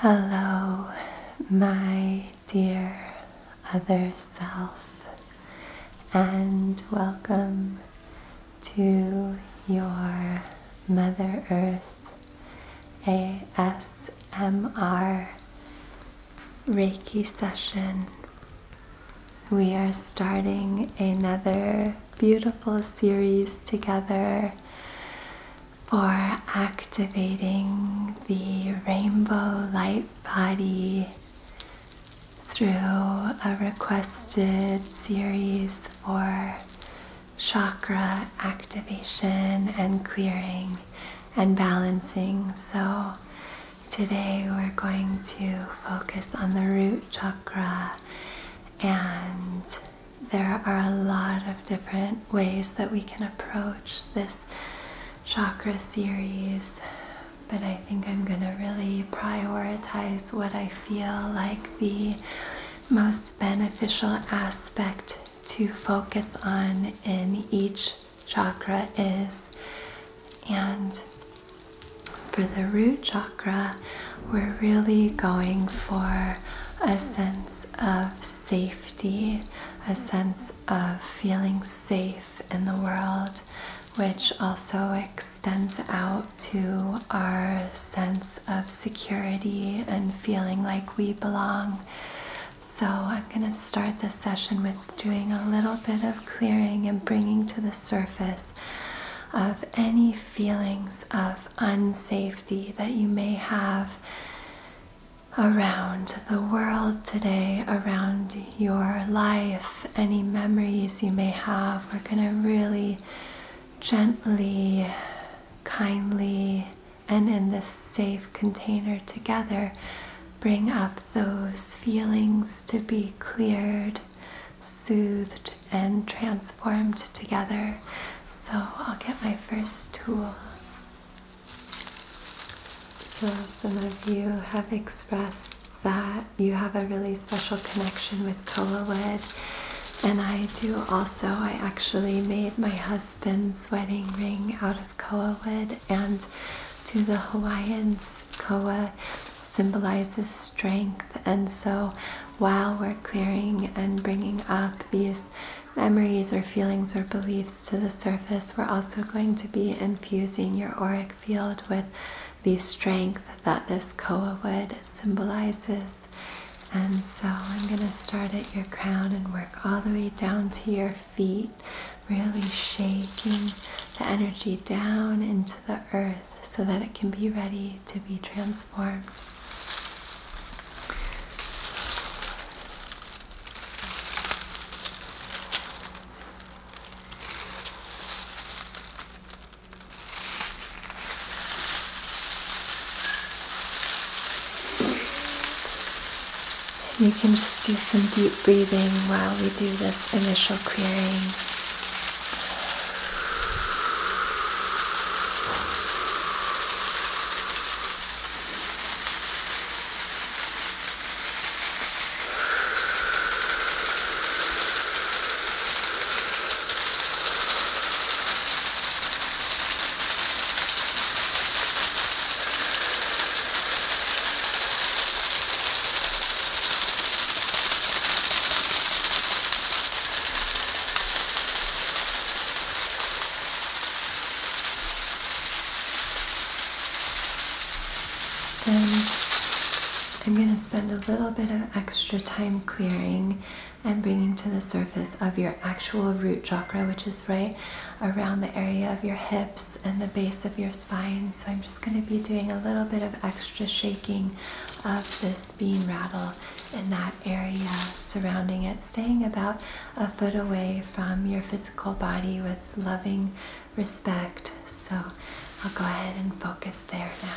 Hello, my dear other self, and welcome to your Mother Earth ASMR Reiki session. We are starting another beautiful series together for activating the rainbow light body through a requested series for chakra activation and clearing and balancing. So, Today we're going to focus on the root chakra, and there are a lot of different ways that we can approach this chakra series. But I think I'm going to really prioritize what I feel like the most beneficial aspect to focus on in each chakra is. And for the root chakra, we're really going for a sense of safety, a sense of feeling safe in the world, which also extends out to our sense of security and feeling like we belong. So, I'm going to start this session with doing a little bit of clearing and bringing to the surface of any feelings of unsafety that you may have around the world today, around your life, any memories you may have. We're going to really gently, kindly, and in this safe container together, bring up those feelings to be cleared, soothed, and transformed together. So I'll get my first tool. So, some of you have expressed that you have a really special connection with koa wood. And I do also. I actually made my husband's wedding ring out of koa wood, and to the Hawaiians, koa symbolizes strength. And so, while we're clearing and bringing up these memories or feelings or beliefs to the surface, we're also going to be infusing your auric field with the strength that this koa wood symbolizes. And so I'm going to start at your crown and work all the way down to your feet, really shaking the energy down into the earth so that it can be ready to be transformed. You can just do some deep breathing while we do this initial clearing. Then I'm going to spend a little bit of extra time clearing and bringing to the surface of your actual root chakra, which is right around the area of your hips and the base of your spine. So I'm just going to be doing a little bit of extra shaking of this bean rattle in that area surrounding it, staying about a foot away from your physical body with loving respect. So I'll go ahead and focus there now.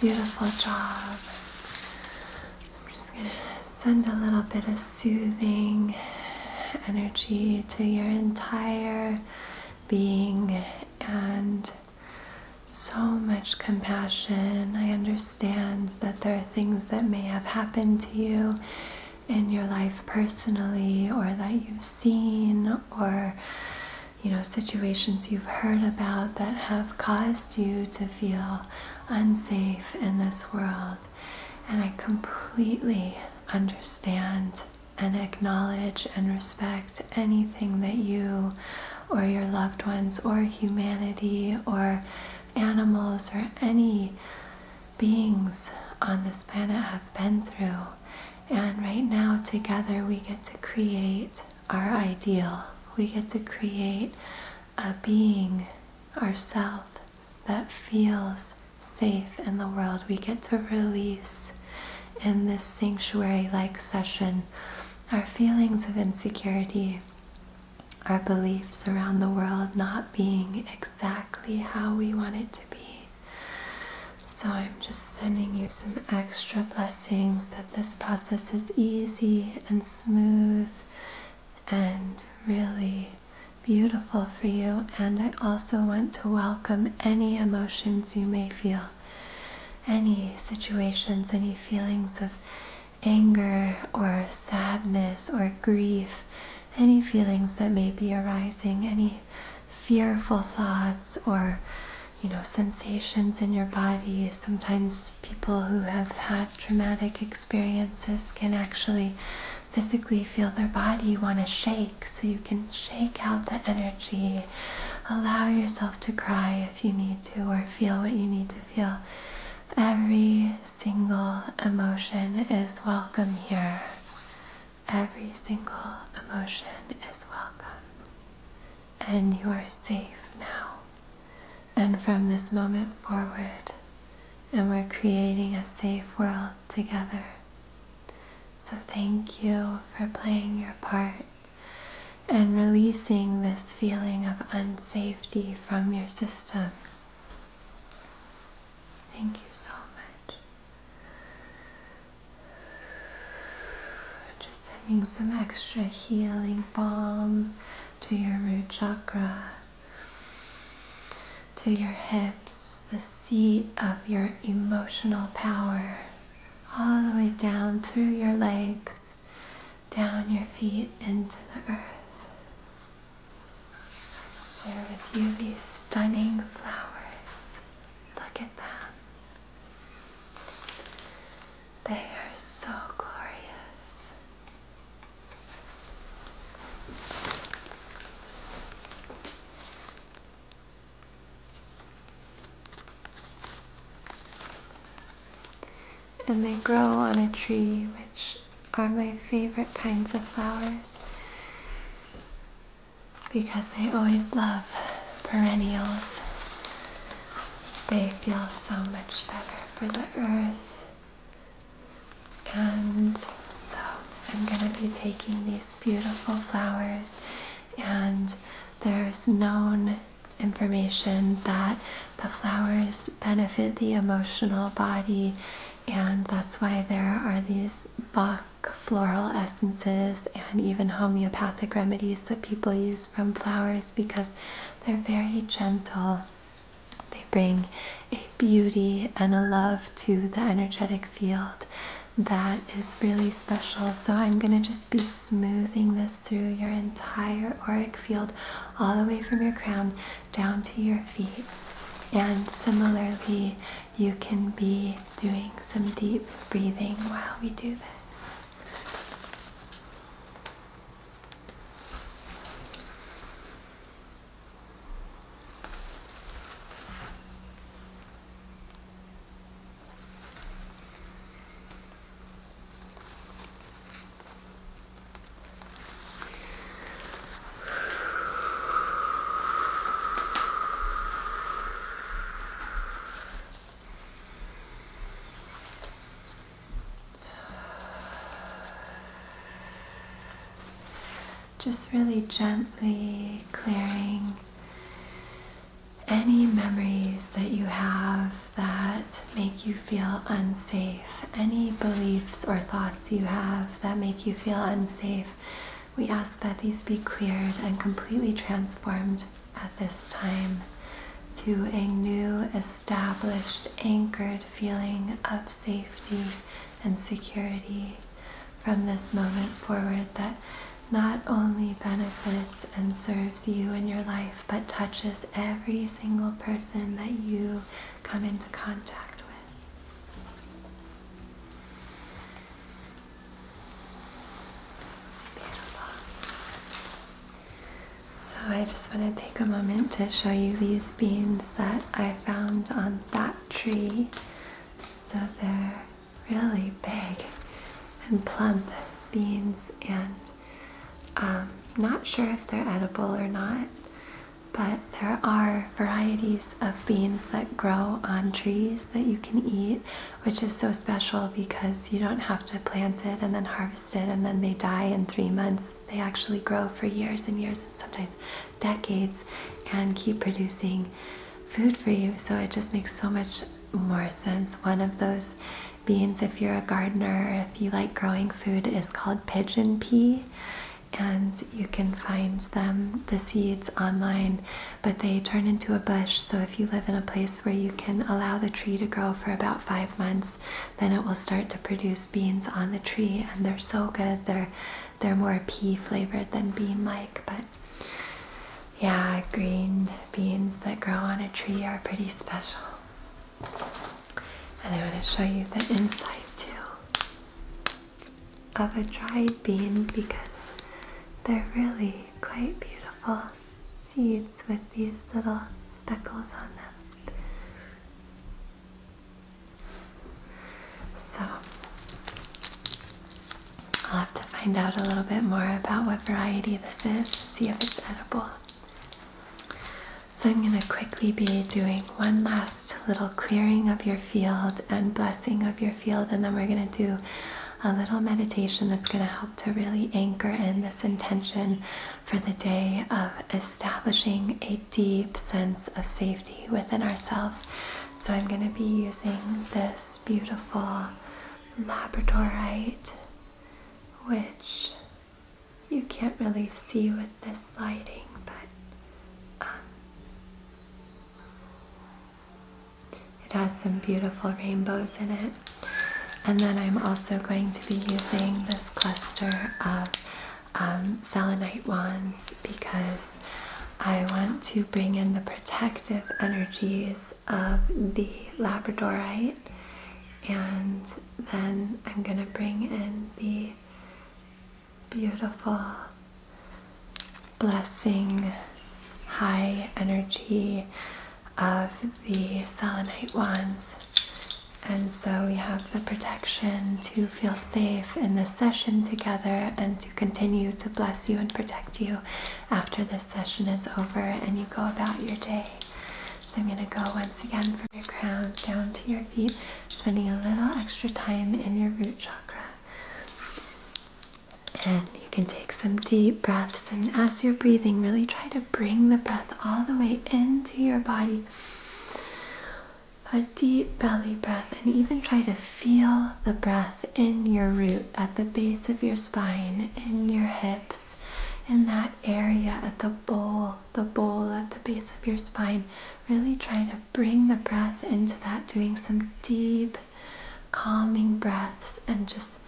Mm-hmm. Beautiful job. I'm just going to send a little bit of soothing energy to your entire being and so much compassion. I understand that there are things that may have happened to you in your life personally or that you've seen or you know, situations you've heard about that have caused you to feel unsafe in this world. And I completely understand and acknowledge and respect anything that you or your loved ones or humanity or animals or any beings on this planet have been through. And right now, together, we get to create our ideal. We get to create a being, ourself, that feels safe in the world. We get to release in this sanctuary like session our feelings of insecurity, our beliefs around the world not being exactly how we want it to be. So I'm just sending you some extra blessings that this process is easy and smooth and really beautiful for you. And I also want to welcome any emotions you may feel, any situations, any feelings of anger or sadness or grief, any feelings that may be arising, any fearful thoughts or you know sensations in your body sometimes people who have had traumatic experiences can actually physically feel their body want to shake so you can shake out the energy allow yourself to cry if you need to or feel what you need to feel every single emotion is welcome here Every single emotion is welcome, and you are safe now. And from this moment forward, and we're creating a safe world together. So thank you for playing your part and releasing this feeling of unsafety from your system. Thank you so much. Just sending some extra healing balm to your root chakra, to your hips, the seat of your emotional power, all the way down through your legs, down your feet into the earth. share with you these stunning flowers. Look at them. They are so glorious. And they grow on a tree, which are my favorite kinds of flowers because I always love perennials. They feel so much better for the earth. And so I'm going to be taking these beautiful flowers and there's known information that the flowers benefit the emotional body and that's why there are these box floral essences and even homeopathic remedies that people use from flowers because they're very gentle. They bring a beauty and a love to the energetic field that is really special. So I'm going to just be smoothing this through your entire auric field, all the way from your crown down to your feet. And similarly, you can be doing some deep breathing while we do this. Just really gently clearing any memories that you have that make you feel unsafe, any beliefs or thoughts you have that make you feel unsafe, we ask that these be cleared and completely transformed at this time to a new, established, anchored feeling of safety and security from this moment forward that not only benefits and serves you in your life, but touches every single person that you come into contact with. So I just want to take a moment to show you these beans that I found on that tree. So they're really big and plump beans and um, not sure if they're edible or not, but there are varieties of beans that grow on trees that you can eat, which is so special because you don't have to plant it and then harvest it and then they die in three months. They actually grow for years and years and sometimes decades and keep producing food for you. So it just makes so much more sense. One of those beans, if you're a gardener, if you like growing food, is called pigeon pea and you can find them, the seeds, online but they turn into a bush. So if you live in a place where you can allow the tree to grow for about five months, then it will start to produce beans on the tree, and they're so good. They're they're more pea flavored than bean like, but yeah, green beans that grow on a tree are pretty special. And I want to show you the inside too of a dried bean because they're really quite beautiful seeds with these little speckles on them. So I'll have to find out a little bit more about what variety this is see if it's edible. So I'm going to quickly be doing one last little clearing of your field and blessing of your field, and then we're going to do a little meditation that's going to help to really anchor in this intention for the day of establishing a deep sense of safety within ourselves. So, I'm going to be using this beautiful labradorite, which you can't really see with this lighting, but um, it has some beautiful rainbows in it. And then I'm also going to be using this cluster of um, selenite wands because I want to bring in the protective energies of the labradorite and then I'm going to bring in the beautiful blessing, high energy of the selenite wands. And so we have the protection to feel safe in this session together and to continue to bless you and protect you after this session is over and you go about your day. So I'm going to go once again from your crown down to your feet, spending a little extra time in your root chakra. And you can take some deep breaths, and as you're breathing, really try to bring the breath all the way into your body. A deep belly breath, and even try to feel the breath in your root, at the base of your spine, in your hips, in that area at the bowl, the bowl at the base of your spine. Really trying to bring the breath into that, doing some deep, calming breaths and just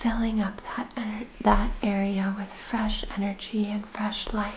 filling up that, that area with fresh energy and fresh life.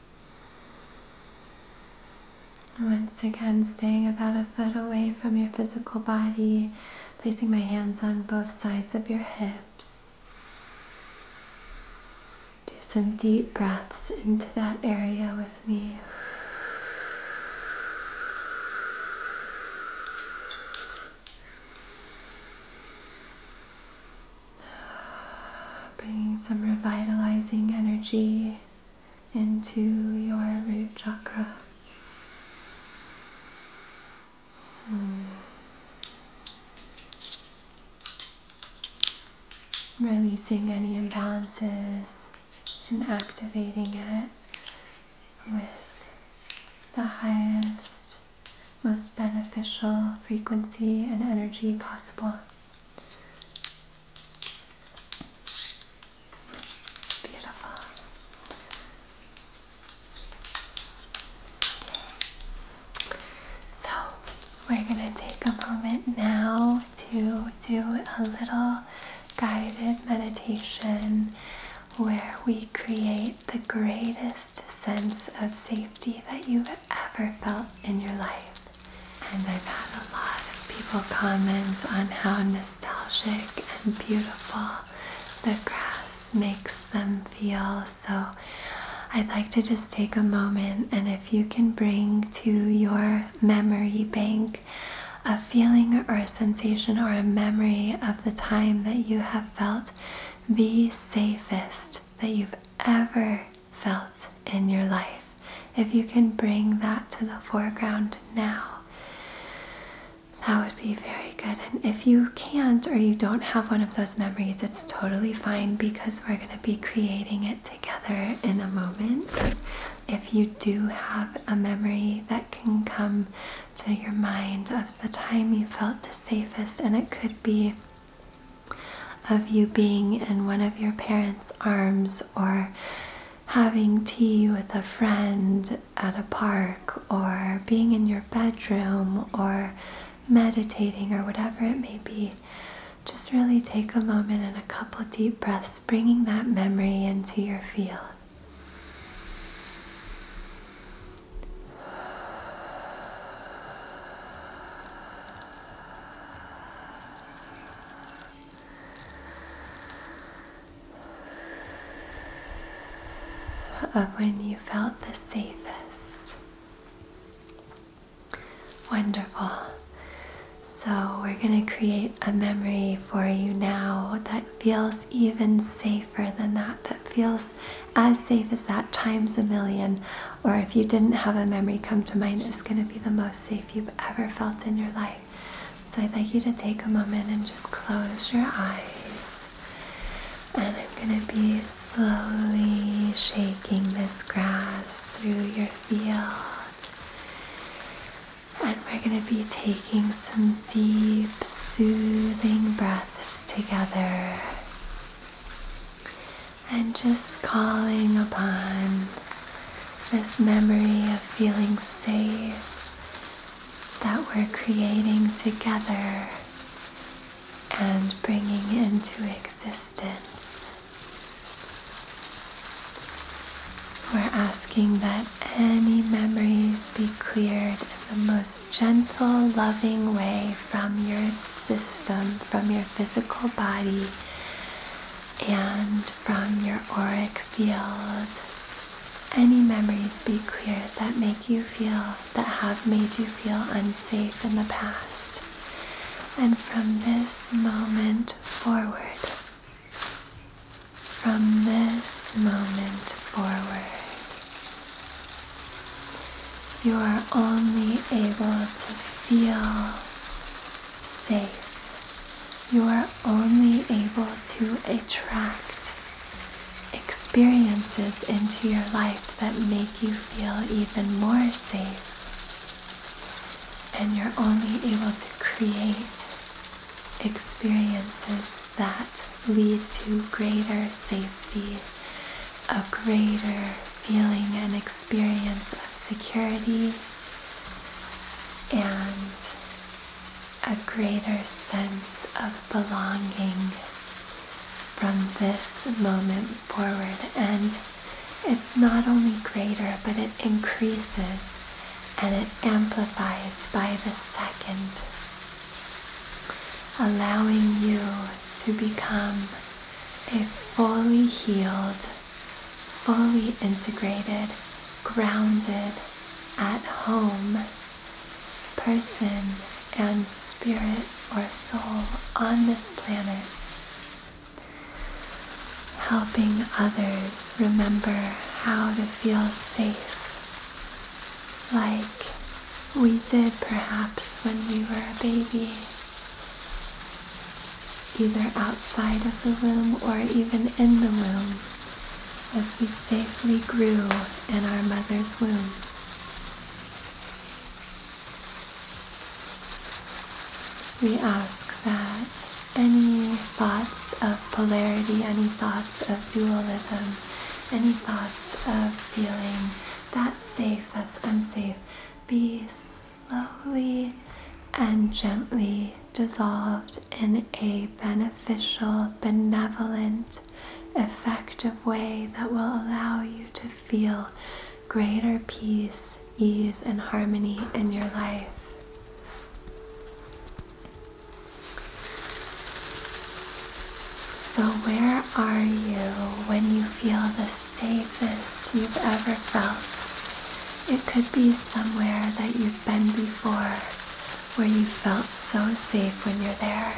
Once again, staying about a foot away from your physical body, placing my hands on both sides of your hips. Do some deep breaths into that area with me. Bringing some revitalizing energy into your root chakra. Mm. Releasing any imbalances and activating it with the highest, most beneficial frequency and energy possible. Beautiful. So, we're going to take a moment now to do a little guided meditation where we create the greatest sense of safety that you've ever felt in your life and I've had a lot of people comment on how nostalgic and beautiful the grass makes them feel. So I'd like to just take a moment and if you can bring to your memory bank a feeling or a sensation or a memory of the time that you have felt the safest that you've ever felt in your life. If you can bring that to the foreground now, that would be very good. And if you can't or you don't have one of those memories, it's totally fine because we're going to be creating it together in a moment. If you do have a memory that can come to your mind of the time you felt the safest, and it could be of you being in one of your parents' arms or having tea with a friend at a park or being in your bedroom or meditating or whatever it may be. Just really take a moment and a couple deep breaths, bringing that memory into your field of uh, when you felt the safest. Wonderful. So, we're going to create a memory for you now that feels even safer than that, that feels as safe as that times a million or if you didn't have a memory come to mind, it's going to be the most safe you've ever felt in your life. So I'd like you to take a moment and just close your eyes. And I'm going to be slowly shaking this grass through your field. And we're going to be taking some deep, soothing breaths together and just calling upon this memory of feeling safe that we're creating together and bringing into existence. We're asking that any memories be cleared in the most gentle, loving way from your system, from your physical body, and from your auric field. Any memories be clear that make you feel, that have made you feel unsafe in the past. And from this moment forward, from this moment forward, you are only able to feel safe. You are only able to attract experiences into your life that make you feel even more safe. And you're only able to create experiences that lead to greater safety, a greater feeling an experience of security and a greater sense of belonging from this moment forward. And it's not only greater, but it increases and it amplifies by the second, allowing you to become a fully healed, fully integrated, grounded, at home person and spirit or soul on this planet, helping others remember how to feel safe, like we did perhaps when we were a baby either outside of the womb or even in the womb, as we safely grew in our mother's womb. We ask that any thoughts of polarity, any thoughts of dualism, any thoughts of feeling that's safe, that's unsafe, be slowly and gently dissolved in a beneficial, benevolent, effective way that will allow you to feel greater peace, ease, and harmony in your life. So, where are you when you feel the safest you've ever felt? It could be somewhere that you've been before where you felt so safe when you're there.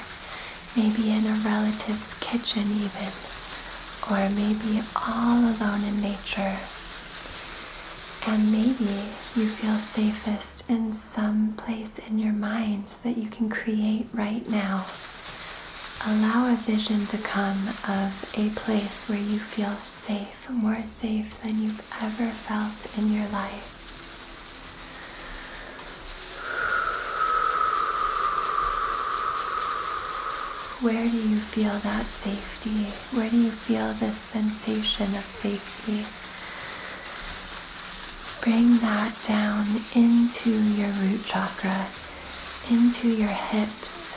Maybe in a relative's kitchen even. Or maybe all alone in nature. And maybe you feel safest in some place in your mind that you can create right now. Allow a vision to come of a place where you feel safe, more safe than you've ever felt in your life. Where do you feel that safety? Where do you feel this sensation of safety? Bring that down into your root chakra into your hips,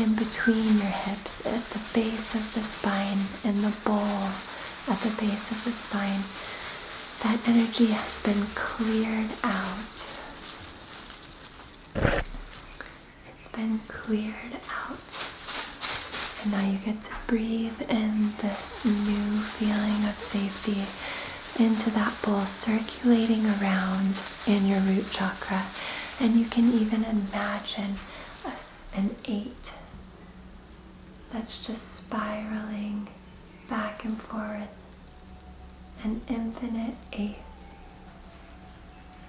in between your hips, at the base of the spine, in the bowl at the base of the spine. That energy has been cleared out. It's been cleared out. And now you get to breathe in this new feeling of safety into that bowl, circulating around in your root chakra. And you can even imagine a, an eight that's just spiraling back and forth, an infinite eight,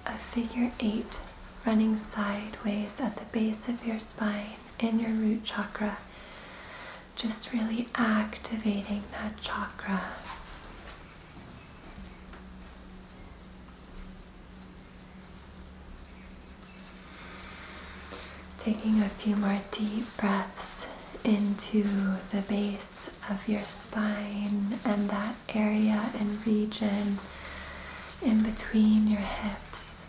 a figure eight running sideways at the base of your spine in your root chakra just really activating that chakra. Taking a few more deep breaths into the base of your spine and that area and region in between your hips.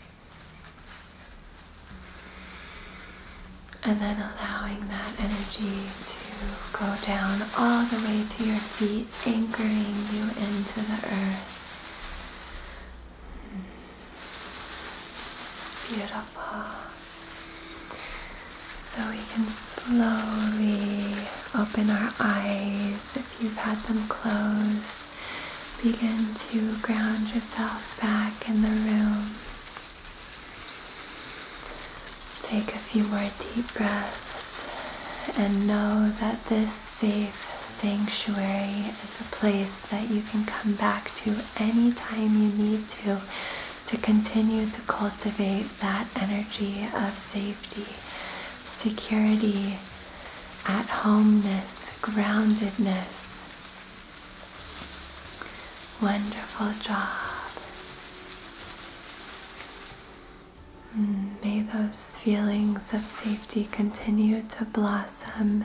And then allowing that energy to go down all the way to your feet, anchoring you into the earth. Beautiful. So we can slowly open our eyes if you've had them closed. Begin to ground yourself back in the room. Take a few more deep breaths and know that this safe sanctuary is a place that you can come back to any time you need to to continue to cultivate that energy of safety, security, at homeness, groundedness. Wonderful job. Mm, may those feelings of safety continue to blossom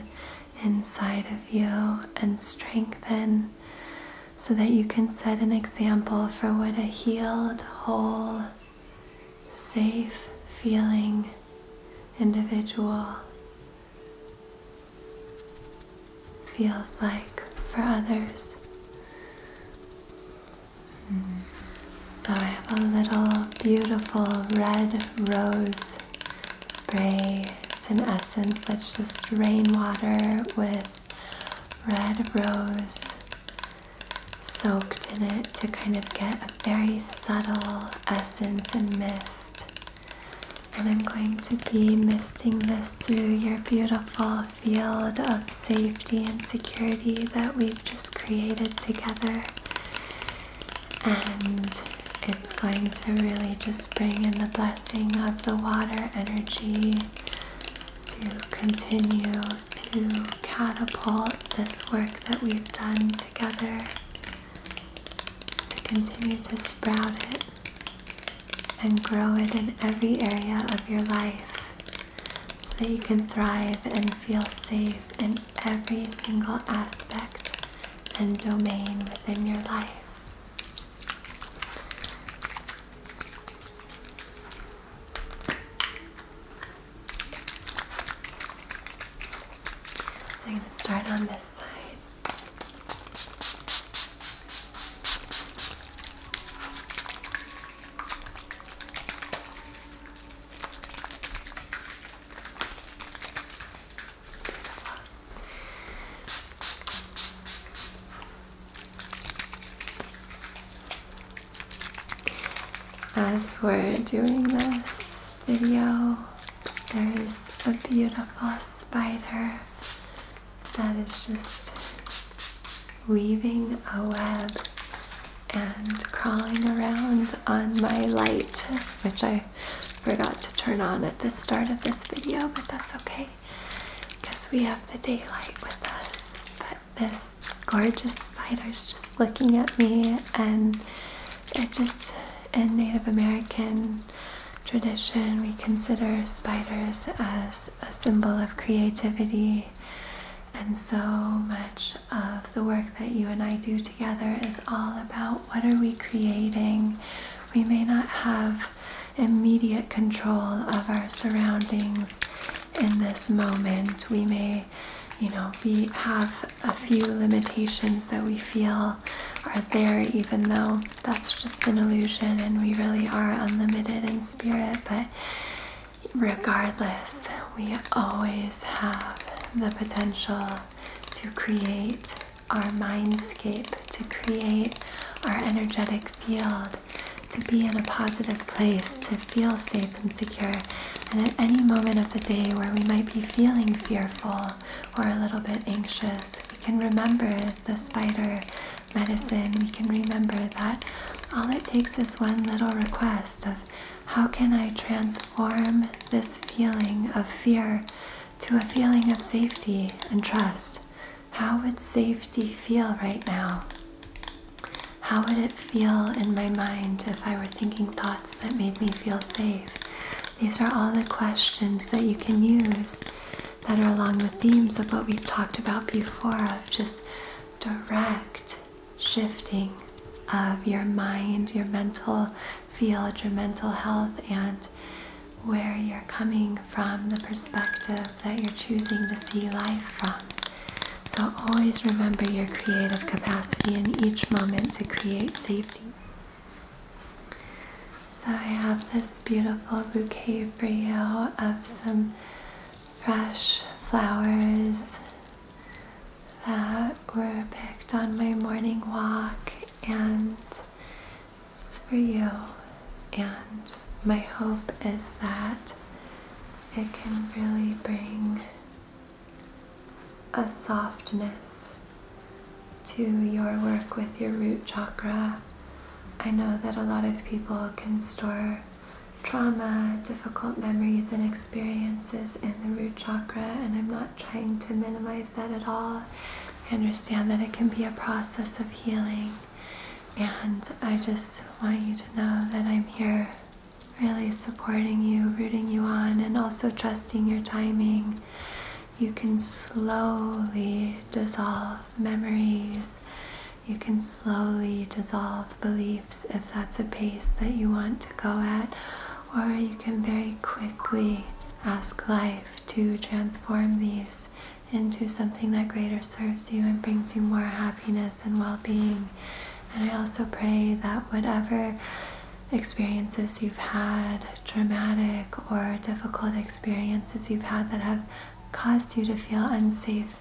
inside of you and strengthen so that you can set an example for what a healed, whole, safe feeling individual feels like for others. So I have a little beautiful red rose spray. It's an essence that's just rainwater with red rose soaked in it to kind of get a very subtle essence and mist. And I'm going to be misting this through your beautiful field of safety and security that we've just created together. And it's going to really just bring in the blessing of the water energy to continue to catapult this work that we've done together, to continue to sprout it and grow it in every area of your life so that you can thrive and feel safe in every single aspect and domain within your life. So I'm going to start on this as we're doing this video, there's a beautiful spider that is just weaving a web and crawling around on my light, which I forgot to turn on at the start of this video, but that's okay because we have the daylight with us. But this gorgeous spider's just looking at me and it just, in Native American tradition, we consider spiders as a symbol of creativity. And so much of the work that you and I do together is all about what are we creating. We may not have immediate control of our surroundings in this moment. We may, you know, be have a few limitations that we feel are there even though that's just an illusion and we really are unlimited in spirit, but regardless, we always have the potential to create our mindscape, to create our energetic field, to be in a positive place, to feel safe and secure. And at any moment of the day where we might be feeling fearful or a little bit anxious, we can remember it the spider medicine, we can remember that all it takes is one little request of how can I transform this feeling of fear to a feeling of safety and trust? How would safety feel right now? How would it feel in my mind if I were thinking thoughts that made me feel safe? These are all the questions that you can use that are along the themes of what we've talked about before of just direct shifting of your mind, your mental field, your mental health, and where you're coming from, the perspective that you're choosing to see life from. So always remember your creative capacity in each moment to create safety. So I have this beautiful bouquet for you of some fresh flowers that were picked on my morning walk and it's for you and my hope is that it can really bring a softness to your work with your root chakra. I know that a lot of people can store trauma, difficult memories, and experiences in the root chakra, and I'm not trying to minimize that at all. I understand that it can be a process of healing, and I just want you to know that I'm here really supporting you, rooting you on, and also trusting your timing you can slowly dissolve memories. You can slowly dissolve beliefs if that's a pace that you want to go at, or you can very quickly ask life to transform these into something that greater serves you and brings you more happiness and well being. And I also pray that whatever experiences you've had traumatic or difficult experiences you've had that have caused you to feel unsafe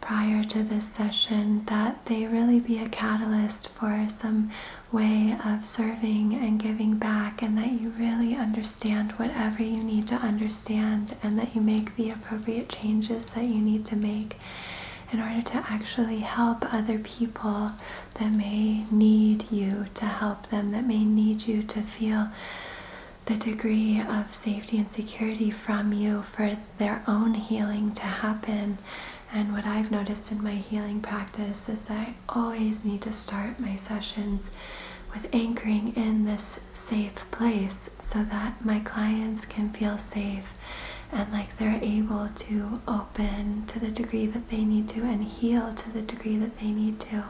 prior to this session, that they really be a catalyst for some way of serving and giving back, and that you really understand whatever you need to understand, and that you make the appropriate changes that you need to make in order to actually help other people that may need you to help them that may need you to feel the degree of safety and security from you for their own healing to happen. And what I've noticed in my healing practice is that I always need to start my sessions with anchoring in this safe place so that my clients can feel safe and like they're able to open to the degree that they need to and heal to the degree that they need to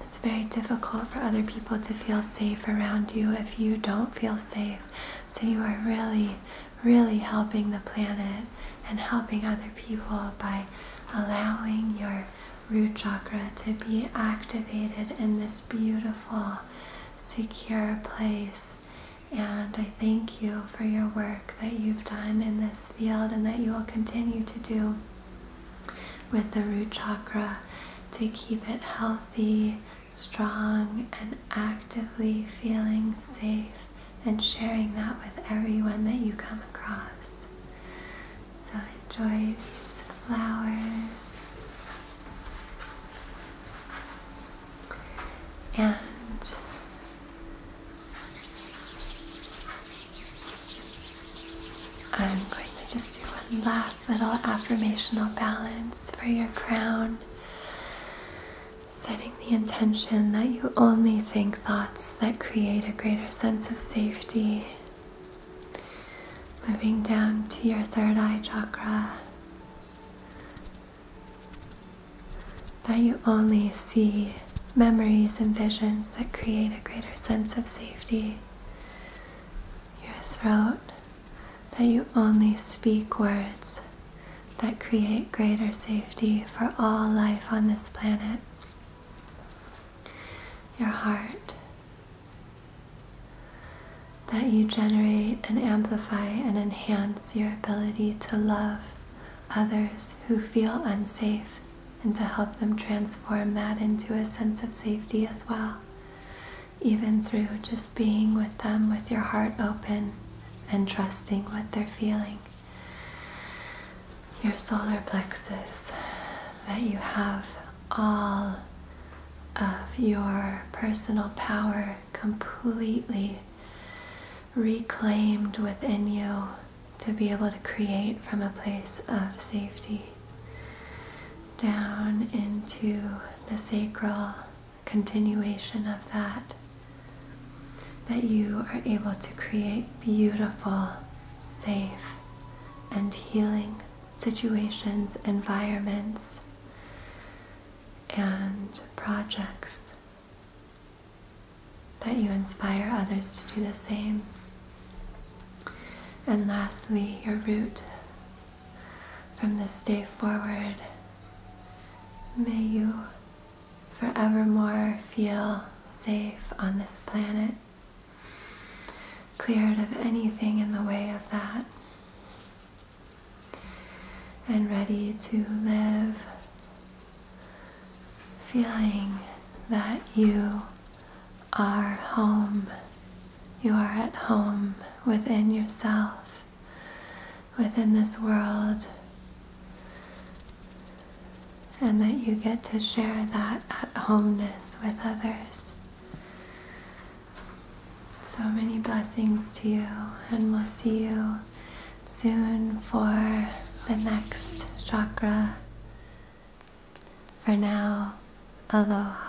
it's very difficult for other people to feel safe around you if you don't feel safe. So you are really, really helping the planet and helping other people by allowing your root chakra to be activated in this beautiful, secure place. And I thank you for your work that you've done in this field and that you will continue to do with the root chakra to keep it healthy, strong, and actively feeling safe and sharing that with everyone that you come across. So enjoy these flowers. And I'm going to just do one last little affirmational balance for your crown. Setting the intention that you only think thoughts that create a greater sense of safety. Moving down to your third eye chakra. That you only see memories and visions that create a greater sense of safety. Your throat, that you only speak words that create greater safety for all life on this planet. Your heart, that you generate and amplify and enhance your ability to love others who feel unsafe and to help them transform that into a sense of safety as well, even through just being with them with your heart open and trusting what they're feeling. Your solar plexus, that you have all of your personal power completely reclaimed within you to be able to create from a place of safety down into the sacral continuation of that, that you are able to create beautiful, safe, and healing situations, environments, and projects that you inspire others to do the same. And lastly, your root. From this day forward, may you forevermore feel safe on this planet, cleared of anything in the way of that, and ready to live feeling that you are home. You are at home within yourself, within this world, and that you get to share that at homeness with others. So many blessings to you, and we'll see you soon for the next chakra. For now, aloha.